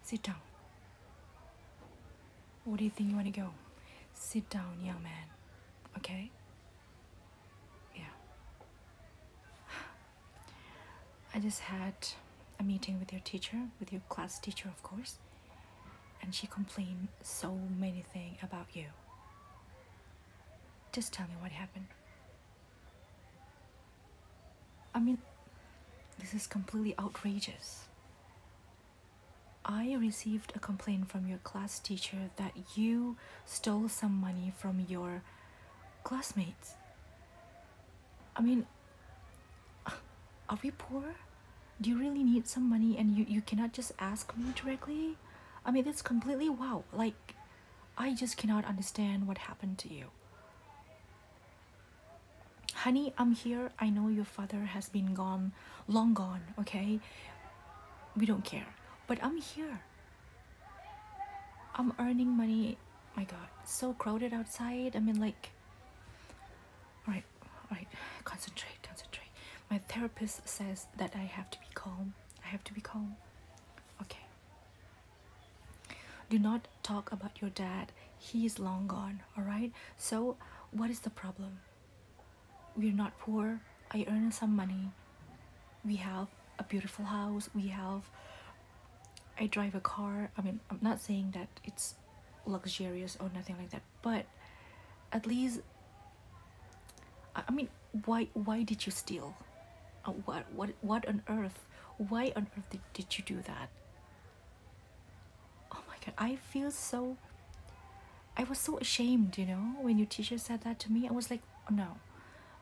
Sit down. Where do you think you want to go? Sit down, young man. Okay? Yeah. I just had a meeting with your teacher, with your class teacher, of course, and she complained so many things about you. Just tell me what happened. I mean, this is completely outrageous. I received a complaint from your class teacher that you stole some money from your classmates. I mean, are we poor? Do you really need some money and you, you cannot just ask me directly? I mean, that's completely wow. Like, I just cannot understand what happened to you. Honey, I'm here. I know your father has been gone, long gone, okay? We don't care. But I'm here. I'm earning money. My god, so crowded outside. I mean, like. Alright, alright, concentrate, concentrate. My therapist says that I have to be calm. I have to be calm. Okay do not talk about your dad he is long gone all right so what is the problem we're not poor i earn some money we have a beautiful house we have i drive a car i mean i'm not saying that it's luxurious or nothing like that but at least i mean why why did you steal uh, what what what on earth why on earth did, did you do that oh my god i feel so i was so ashamed you know when your teacher said that to me i was like oh, no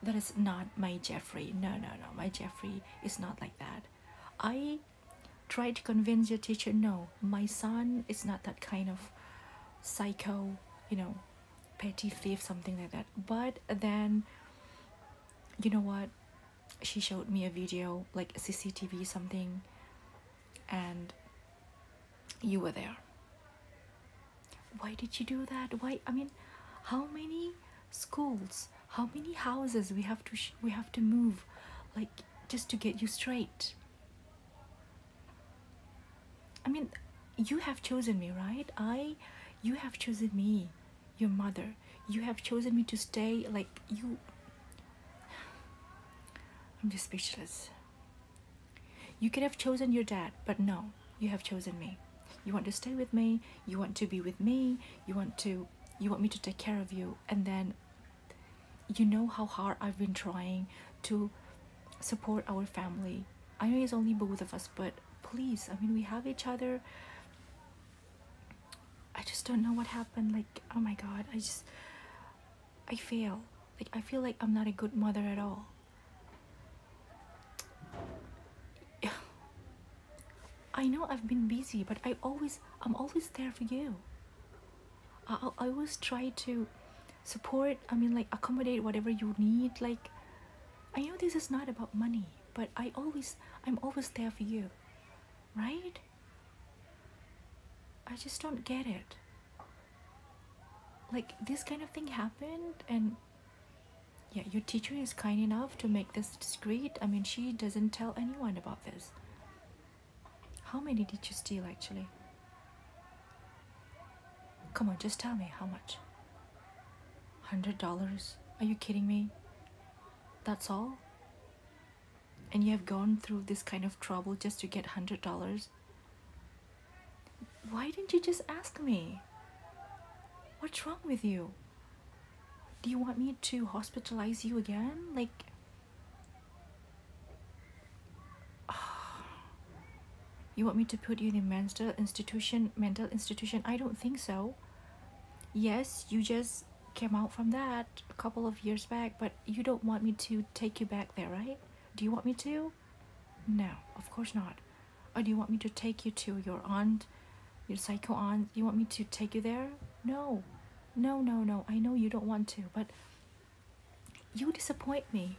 that is not my jeffrey no no no my jeffrey is not like that i tried to convince your teacher no my son is not that kind of psycho you know petty thief something like that but then you know what she showed me a video like cctv something and you were there why did you do that why i mean how many schools how many houses we have to we have to move like just to get you straight i mean you have chosen me right i you have chosen me your mother you have chosen me to stay like you i'm just speechless you could have chosen your dad but no you have chosen me you want to stay with me you want to be with me you want to you want me to take care of you and then you know how hard i've been trying to support our family I know it's only both of us, but please, I mean, we have each other. I just don't know what happened. Like, oh my god, I just. I fail. Like, I feel like I'm not a good mother at all. I know I've been busy, but I always, I'm always there for you. I, I always try to support, I mean, like, accommodate whatever you need. Like, I know this is not about money, but I always I'm always there for you. Right? I just don't get it. Like this kind of thing happened and yeah, your teacher is kind enough to make this discreet. I mean, she doesn't tell anyone about this. How many did you steal actually? Come on, just tell me how much. Hundred dollars? Are you kidding me? That's all? And you have gone through this kind of trouble just to get hundred dollars? Why didn't you just ask me? What's wrong with you? Do you want me to hospitalize you again? Like, You want me to put you in a mental institution? Mental institution? I don't think so. Yes, you just came out from that a couple of years back, but you don't want me to take you back there, right? Do you want me to? No, of course not. Or do you want me to take you to your aunt, your psycho aunt? You want me to take you there? No, no, no, no. I know you don't want to, but you disappoint me.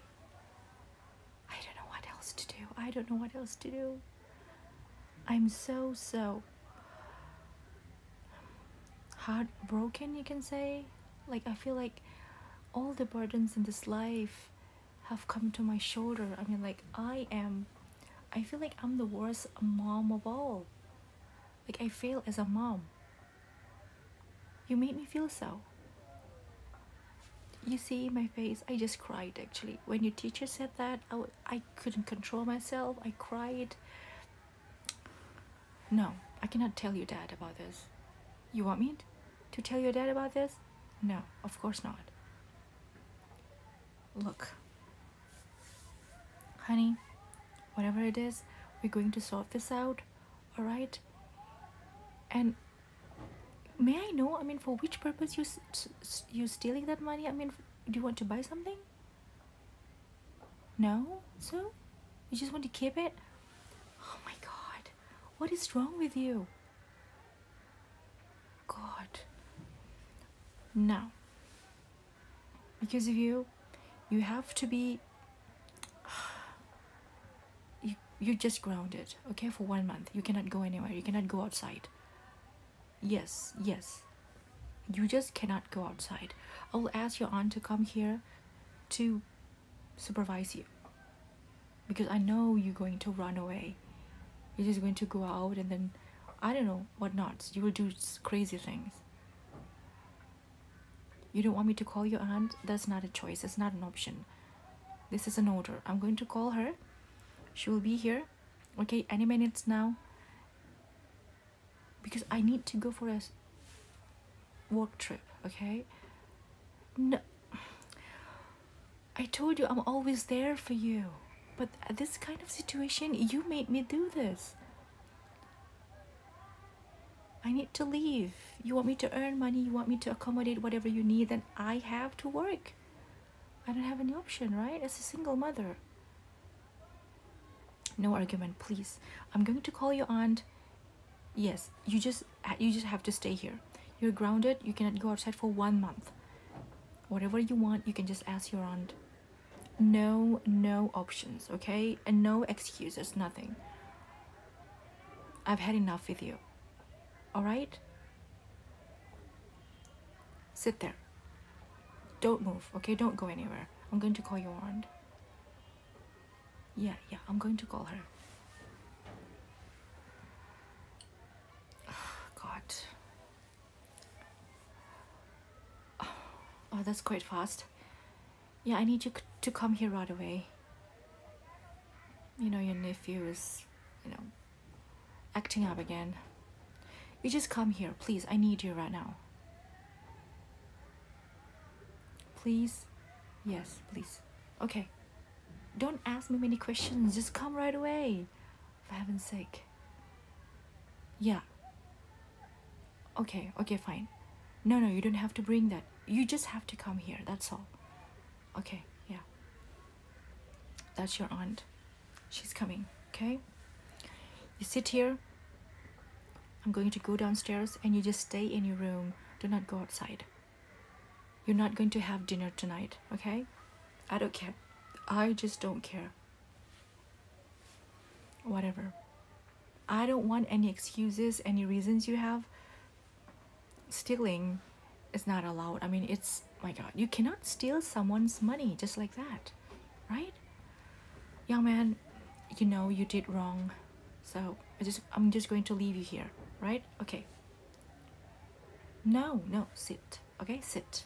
I don't know what else to do. I don't know what else to do. I'm so, so heartbroken, you can say. Like, I feel like all the burdens in this life have come to my shoulder. I mean, like, I am, I feel like I'm the worst mom of all. Like, I fail as a mom. You made me feel so. You see my face, I just cried actually. When your teacher said that, I w I couldn't control myself, I cried. No, I cannot tell your dad about this. You want me to tell your dad about this? No, of course not. Look, honey, whatever it is, we're going to sort this out, alright? And may i know i mean for which purpose you you stealing that money i mean do you want to buy something no so you just want to keep it oh my god what is wrong with you god now because of you you have to be you, you just grounded, okay, for one month. You cannot go anywhere. You cannot go outside. Yes, yes. You just cannot go outside. I'll ask your aunt to come here to supervise you. Because I know you're going to run away. You're just going to go out and then, I don't know, what not. You will do crazy things. You don't want me to call your aunt? That's not a choice. It's not an option. This is an order. I'm going to call her. She will be here. Okay, any minutes now. Because I need to go for a work trip, okay? No. I told you I'm always there for you. But this kind of situation, you made me do this. I need to leave. You want me to earn money, you want me to accommodate whatever you need, then I have to work. I don't have any option, right? As a single mother. No argument, please. I'm going to call your aunt. Yes, you just you just have to stay here. You're grounded, you cannot go outside for one month. Whatever you want, you can just ask your aunt. No, no options, okay? And no excuses, nothing. I've had enough with you. All right? Sit there. Don't move, okay? Don't go anywhere. I'm going to call your aunt. Yeah, yeah, I'm going to call her. Oh, God. Oh, that's quite fast. Yeah, I need you to come here right away. You know, your nephew is, you know, acting up again. You just come here, please. I need you right now. Please? Yes, please. Okay. Don't ask me many questions. Just come right away. For heaven's sake. Yeah. Okay, okay, fine. No, no, you don't have to bring that. You just have to come here, that's all. Okay, yeah. That's your aunt. She's coming, okay? You sit here. I'm going to go downstairs and you just stay in your room. Do not go outside. You're not going to have dinner tonight, okay? I don't care. I just don't care. Whatever. I don't want any excuses, any reasons you have. Stealing is not allowed. I mean, it's, my God, you cannot steal someone's money just like that, right? Young man, you know you did wrong. So I just, I'm just going to leave you here, right? Okay. No, no, sit. Okay, sit.